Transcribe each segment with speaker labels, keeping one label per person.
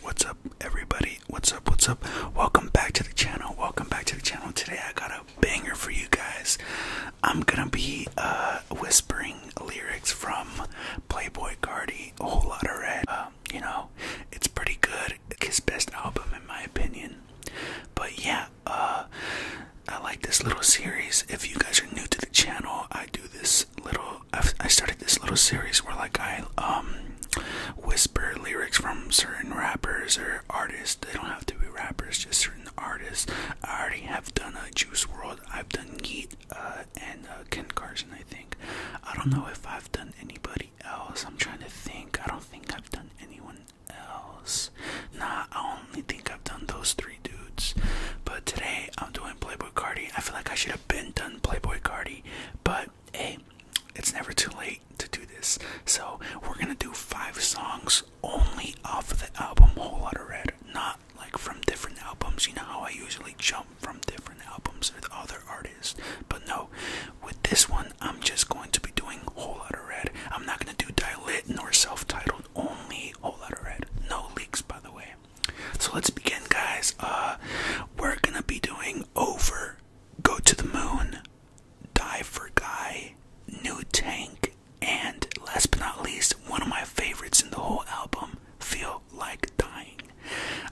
Speaker 1: What's up, everybody? What's up? What's up? Welcome back to the channel. Welcome back to the channel. Today I got a banger for you guys. I'm gonna be uh, whispering lyrics from Playboy Cardi, a whole lot of red. Um, you know, it's pretty good. His best album, in my opinion. But yeah, uh, I like this little series. If you guys are new to the channel, I do this little. i started this little series where, like, I um whisper lyrics from certain rappers or artists. They don't have to be rappers, just certain artists. I already have done a Juice World. I've done Yeet uh, and uh, Ken Carson. I think. I don't know if I've done anybody else. I'm trying to think. I don't think I've done anyone else. Not I only think I've done those three dudes. But today I'm doing Playboy Cardi. I feel like I should have been done Playboy Cardi, but hey, it's never too late to do this. So we're gonna do five songs only off of the album Whole Lot of Red, not like from different albums. You know how I usually jump from different albums with other artists, but no, with this one I'm just going to be doing Whole Lot of Red. I'm not gonna do dilate nor self-titled titled Only Whole Lotta Red. No leaks, by the way. So let's begin, guys. Uh, we're gonna be doing Over, Go to the Moon, Die for Guy, New Tank, and last but not least, one of my favorites in the whole album, Feel Like Dying.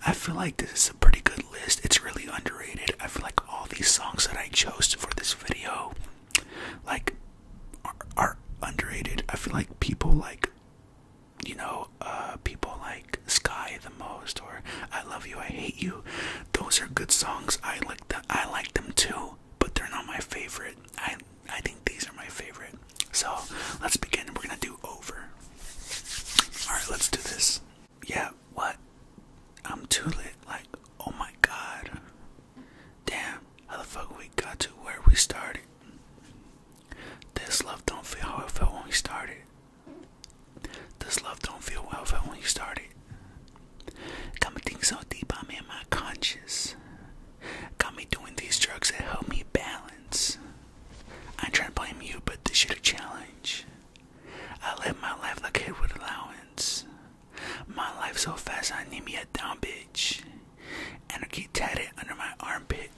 Speaker 1: I feel like this is a pretty good list. It's really underrated. I feel like all these songs that I chose for this video like are, underrated. I feel like people like you know uh, people like Sky the most or I love you I hate you. Those are good songs. I like the I like them too, but they're not my favorite. I I think these are my favorite. So, let's begin. We're going to do over. All right, let's do this. Yeah, what? I'm too lit. Like, oh my god. Damn, how the fuck we got to where we started? This love don't feel how it felt when we started. This love don't feel how it felt when we started. Got me thinking so deep I'm in my conscious. Got me doing these drugs that help me balance. I ain't trying to blame you, but this shit a challenge. I live my life like it would allowance. My life so fast, I need me a down bitch. And I keep tatted under my armpit.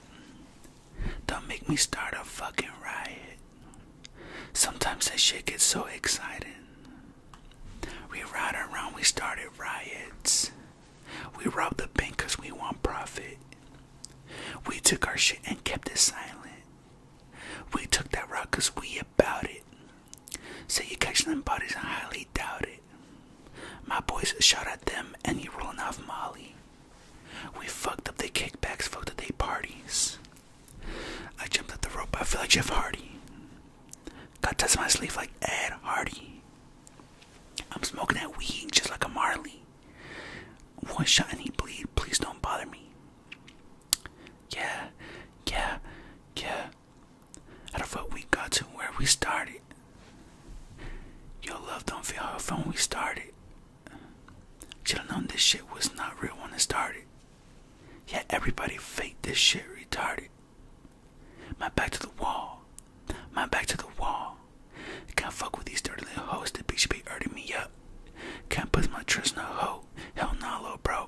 Speaker 1: Don't make me start a fucking riot. Sometimes that shit gets so excited. We ride around, we started riots. We robbed the bank cause we want profit. We took our shit and kept it silent. We took that rock cause we about it you City them Buddies, I highly doubt it. My boys shot at them and you rolling off Molly. We fucked up the kickbacks, fucked up their parties. I jumped up the rope, I feel like Jeff Hardy. Got touched my sleeve like Ed Hardy. I'm smoking that weed just like a Marley. One shot and he bleed, please don't bother me. Yeah, yeah, yeah out of what we got to where we started. Your love don't feel how fun we started. Should've known this shit was not real when it started. Yeah, everybody fake this shit retarded. My back to the wall. My back to the wall. Can't fuck with these dirty little hoes. that bitch be hurting me up. Can't put my trust in a hoe. Hell no, nah, bro.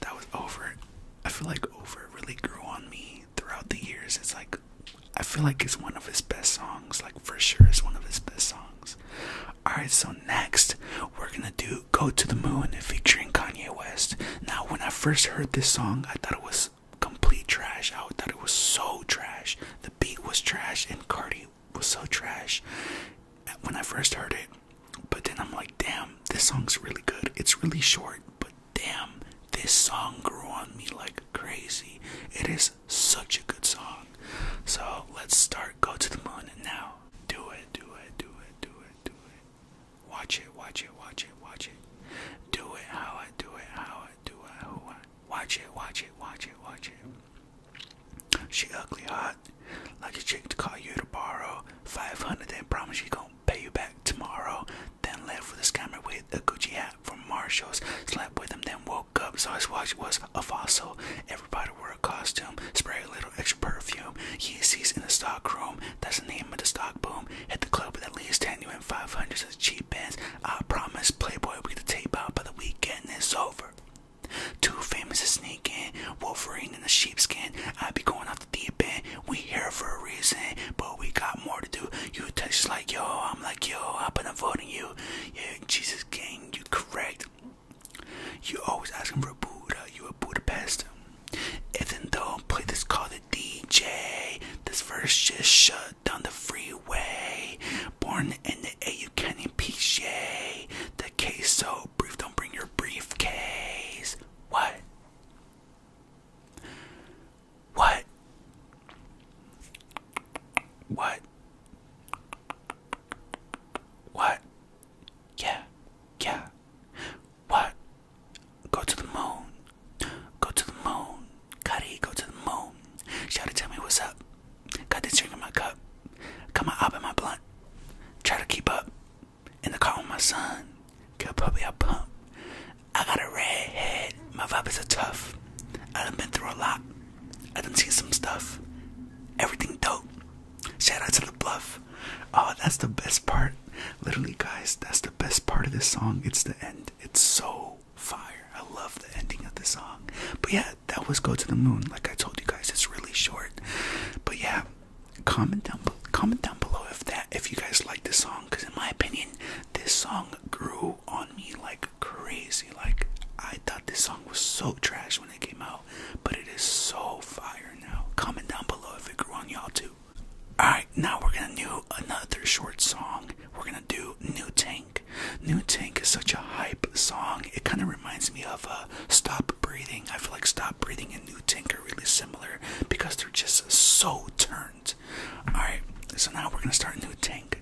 Speaker 1: That was over. I feel like over really grew on me throughout the years. It's like I feel like it's one of his best songs. Like for sure, it's one of his best songs. All right, so next we're gonna do "Go to the Moon" featuring Kanye West. Now, when I first heard this song, I thought it was complete trash. I thought it was so trash. The beat was trash, and Cardi was so trash. When I first heard it, but then I'm like, damn, this song's really good. It's really short, but damn, this song grew on me like crazy. It is such a good song. So let's start Go to the Moon now. Do it, do it, do it, do it, do it. Watch it, watch it, watch it, watch it. Do it how I do it, how I do it, who I watch it, watch it, watch it, watch it. She ugly hot, like a chick to call you to borrow 500 then promise you gonna pay you back tomorrow. Then left with a scammer with a Gucci hat from Marshalls. Slept with him, then woke up, saw his watch was a fossil. Everybody wore a costume, spray a little extra perfume. Yeezys in the stock room, that's the name of the stock boom. Hit the club with at least 10 and 500s of cheap bands. I promise Playboy we get the tape out by the weekend, it's over. Too famous to sneak in, Wolverine in the sheepskin. I'd be going deep end. We here for a reason, but we got more to do. You touch like yo, I'm like yo, I've been avoiding you. Yeah, Jesus King, you correct. You always asking for a Buddha, you a Budapest. And then don't play this call the DJ. This verse just shut down the freeway. Born in the A, you can't impeach, yay. The case so don't bring your briefcase. What? What? What? What? Yeah, yeah. What? Go to the moon. Go to the moon. Cuddy, go to the moon. Shouty, tell me what's up. Got this drink in my cup. Got my op in my blunt. Try to keep up in the car with my son. a puppy, I pump. I got a red head. My vibes are tough. I done been through a lot. I done seen some stuff. Everything dope. Shout out to the bluff. Oh, that's the best part. Literally, guys, that's the best part of this song. It's the end. It's so fire. I love the ending of the song. But yeah, that was Go to the Moon. Like I told you guys, it's really short. But yeah, comment down comment down below if that if you guys like this song, because in my opinion, this song grew on me like crazy. Like I thought this song was so trash when it came out, but it is so fire now. Comment down below if it grew on y'all too. Alright, now we're gonna do another short song. We're gonna do New Tank. New Tank is such a hype song. It kind of reminds me of uh, stop Breathing. I feel like Stop Breathing and New Tink are really similar because they're just so turned. Alright, so now we're gonna start New Tink.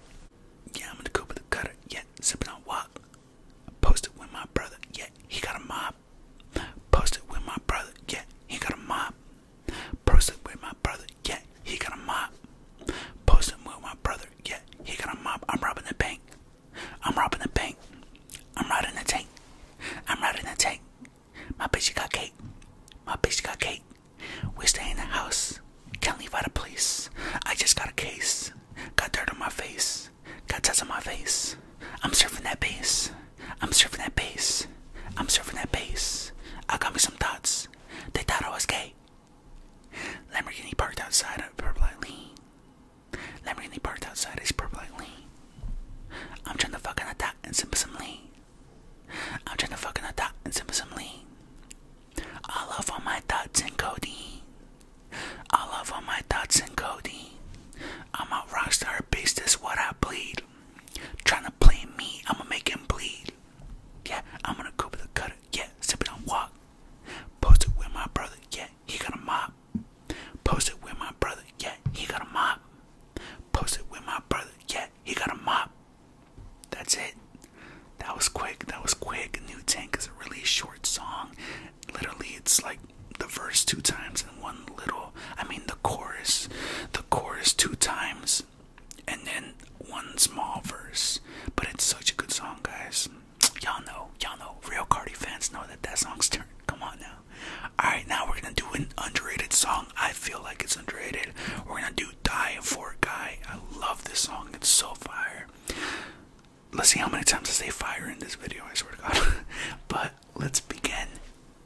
Speaker 1: Yeah, I'm gonna go with the cutter. Yeah, sipping on what? Posted with my brother. Yeah, he got a mob. Posted with my brother. Yeah, he got a mob. Posted with my brother. Yeah, he got a mob. Posted with my brother. Yeah, he got a mob. I'm robbing the bank. I'm robbing the bank. I'm riding the tank. I'm riding the tank. My bitch got cake. My bitch got cake. We staying in the house. Can't leave out of place. I just got a case. Got dirt on my face. Got tats on my face. I'm surfing that bass. I'm surfing that bass. I'm surfing that bass. I got me some thoughts. They thought I was gay. Lamborghini parked outside of Purple Lane. Let really parked outside is politely. I'm trying to fucking attack and simp some lean. I'm trying to fucking attack and simp some lean. I love all my thoughts and codeine. I love all my thoughts and codeine. I'm a rockstar beast, that's what I bleed. Trying to play me, I'ma make him bleed. Yeah, I'm gonna go with the cutter. Yeah, sip it on walk. Post it with my brother, yeah, he got a mop. Post it with my brother, yeah, he got a mop. Post it with my brother, yeah, he got a mop. That's it. That was quick, that was quick. New Tank is a really short song. Literally, it's like the verse two times and one little, I mean, the chorus, the chorus two times, and then one small verse. But it's such a good song, guys y'all know, y'all know, real Cardi fans know that that song's turn. Come on now. Alright, now we're gonna do an underrated song. I feel like it's underrated. We're gonna do Die for a Guy. I love this song, it's so fire. Let's see how many times I say fire in this video, I swear to God. but let's begin.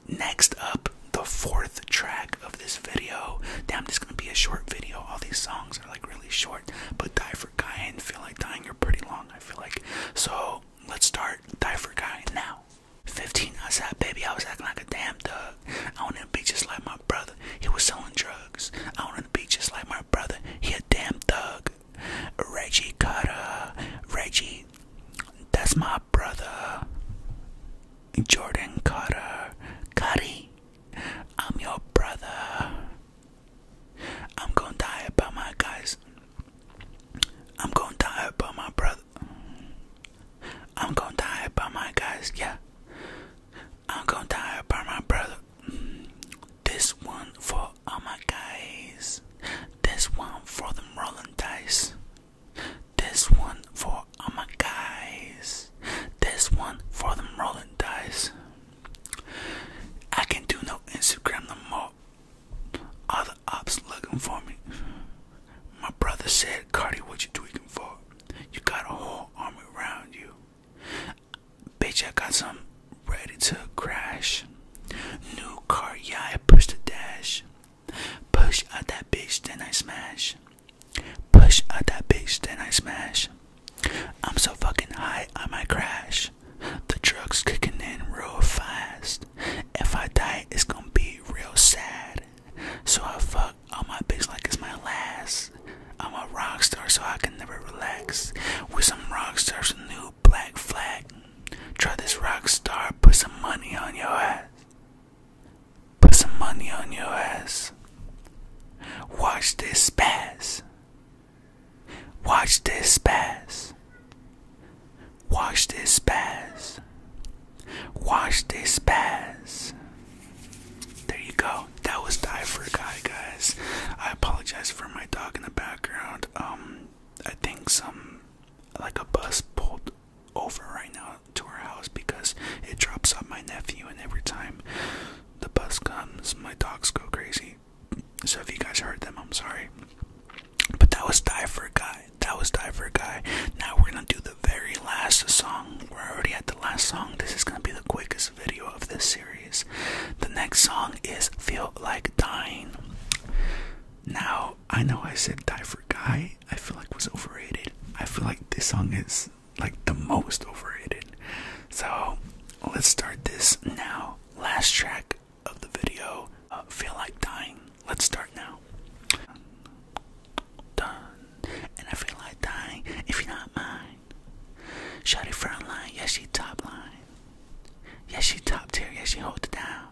Speaker 1: Next up, the fourth track of this video. Damn, this gonna be a short video. All these songs songs like really short, but Die for Guy and Feel Like Dying are pretty long, I feel like. So let's start Die for Guy now. 15 outside, baby, I was acting like a damn thug. I wanted to be just like my brother, he was selling drugs. I wanted to be just like my brother, he a damn thug. Reggie Cutter, Reggie, that's my brother. Jordan Cutter, Cuddy, I'm your brother. I'm gonna die about my guys. I'm gonna die about my brother. I'm gonna die about my guys, yeah. I'm gonna die about my brother. This one for all my guys. This one for the rolling dice. This one for all my guys. This one for the rolling dice. I can do no Instagram no more. All the ops looking for me. My brother said, Cardi, what you tweaking for? You got a whole army around you. Bitch, I got some ready to crash. New car, yeah, I push the dash. Push out that bitch, then I smash. Push out that bitch, then I smash. I'm so fucking high, I might crash. The drugs kicking in real fast. If I die, it's gonna be real sad. So I fuck all my bitch like it's my last. I'm a rock star, so I can never relax. With some rock stars, a new black flag. Try this rock star, put some money on your ass. Put some money on your ass. Watch this pass. Watch this pass. Watch this pass. Watch this pass. There you go. That was Die for a Guy, guys. I apologize for my dog in the background. Um, I think some, like a bus pulled over right now to our house because it drops off my nephew, and every time the bus comes, my dogs go crazy. So if you guys heard them, I'm sorry. But that was Die for a Guy. That was Die for a Guy. Now we're gonna do the very last song. We're already at the last song. This is gonna be the quickest video of this series. The next song is Feel Like Dying. Now, I know I said Die for a Guy. I feel like was overrated. I feel like this song is like the most overrated. So let's start this now. Last track of the video, uh, Feel Like Dying. Let's start now. Done. And I feel like dying if you're not mine. Shotty front line, yeah, she top line. Yeah, she top tier, yeah, she hold it down.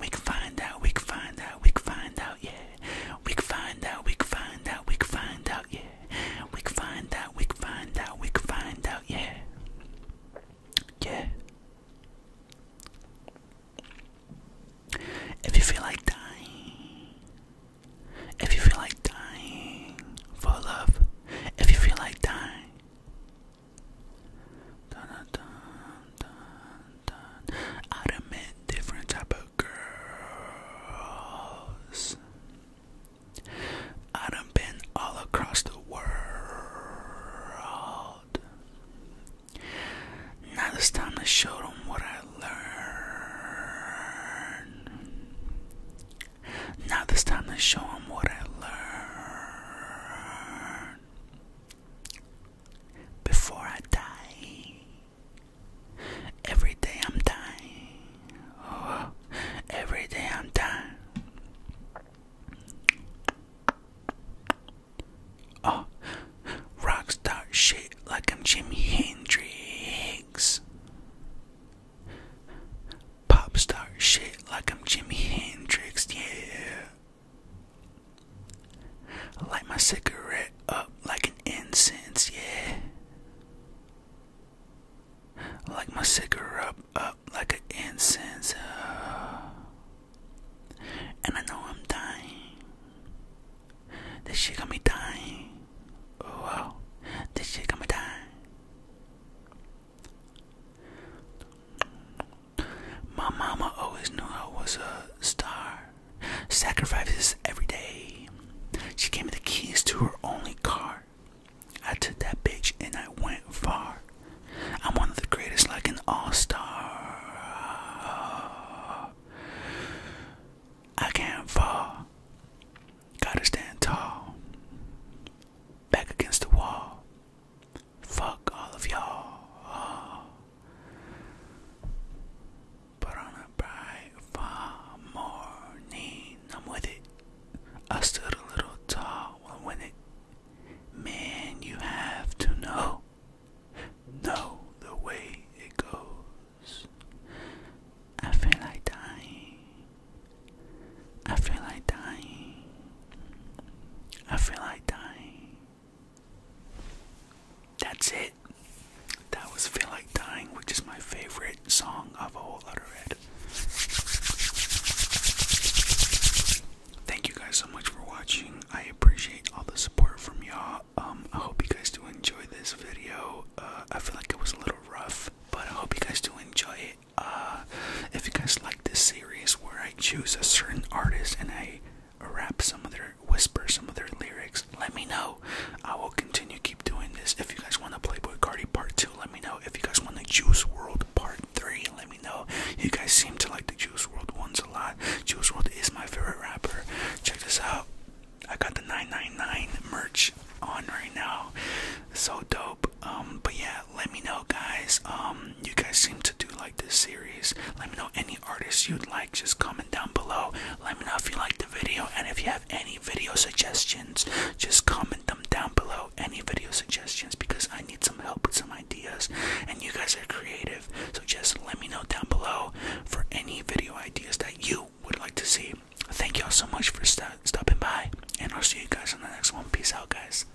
Speaker 1: We can find out, we can find out, we can find out yeah. We can find out, we can find out, we can find out, yeah. We can find out, we can find out, we can find out, yeah. Yeah. If you feel like dying, if you feel like dying for love, if you feel like dying. I'd met different type of girls. I done been all across the world. Now it's time to show what I learned. Now it's time to show them what I learned before I die. Every day I'm dying. Oh, every day I'm dying. Oh, rockstar shit like I'm Jimi Hendrix. Popstar shit like I'm Jimi Hendrix, yeah light my cigarette up like an incense, yeah. I like my cigarette up, up like an incense, uh, and I know I'm dying. This shit got me dying. Oh wow, this shit got me dying. My mama always knew I was a star. Sacrifices every day. She gave me the keys to her only car. I took that bitch and I went far. I'm one of the greatest, like an all star. I can't fall. Gotta stand tall. Back against the wall. Fuck all of y'all. But on a bright fall morning, I'm with it. I stood a little tall when with it. Man, you have to know, know the way it goes. I feel like dying. I feel like dying. I feel like dying. That's it. That was Feel Like Dying, which is my favorite song of A Whole Lotta Red. Thank you guys so much for watching. I appreciate all the support from y'all. Um, I hope you guys do enjoy this video. Uh, I feel like it was a little rough, but I hope you guys do enjoy it. Uh, if you guys like this series where I choose a certain artist and I rap some of their whisper some of their lyrics, let me know. I will continue keep doing this. If you guys want a Playboy Cardi part two, let me know. If you guys want a Juice World part three, let me know. You guys seem to like the Juice World ones a lot. Juice World is my favorite rapper. Check this out. I got the 999 merch on right now. So dope. Um, but yeah, let me know, guys. Um, you guys seem to do like this series. Let me know any artists you'd like. Just comment down below. Let me know if you like the video, and if you have any video suggestions, just comment them down below. Any video suggestions because I need some help with some ideas, and you guys are creative. So just let me know down below for any video ideas that you would like to see. Thank y'all so much for stopping by, and I'll see you guys on the next one. Peace out, guys.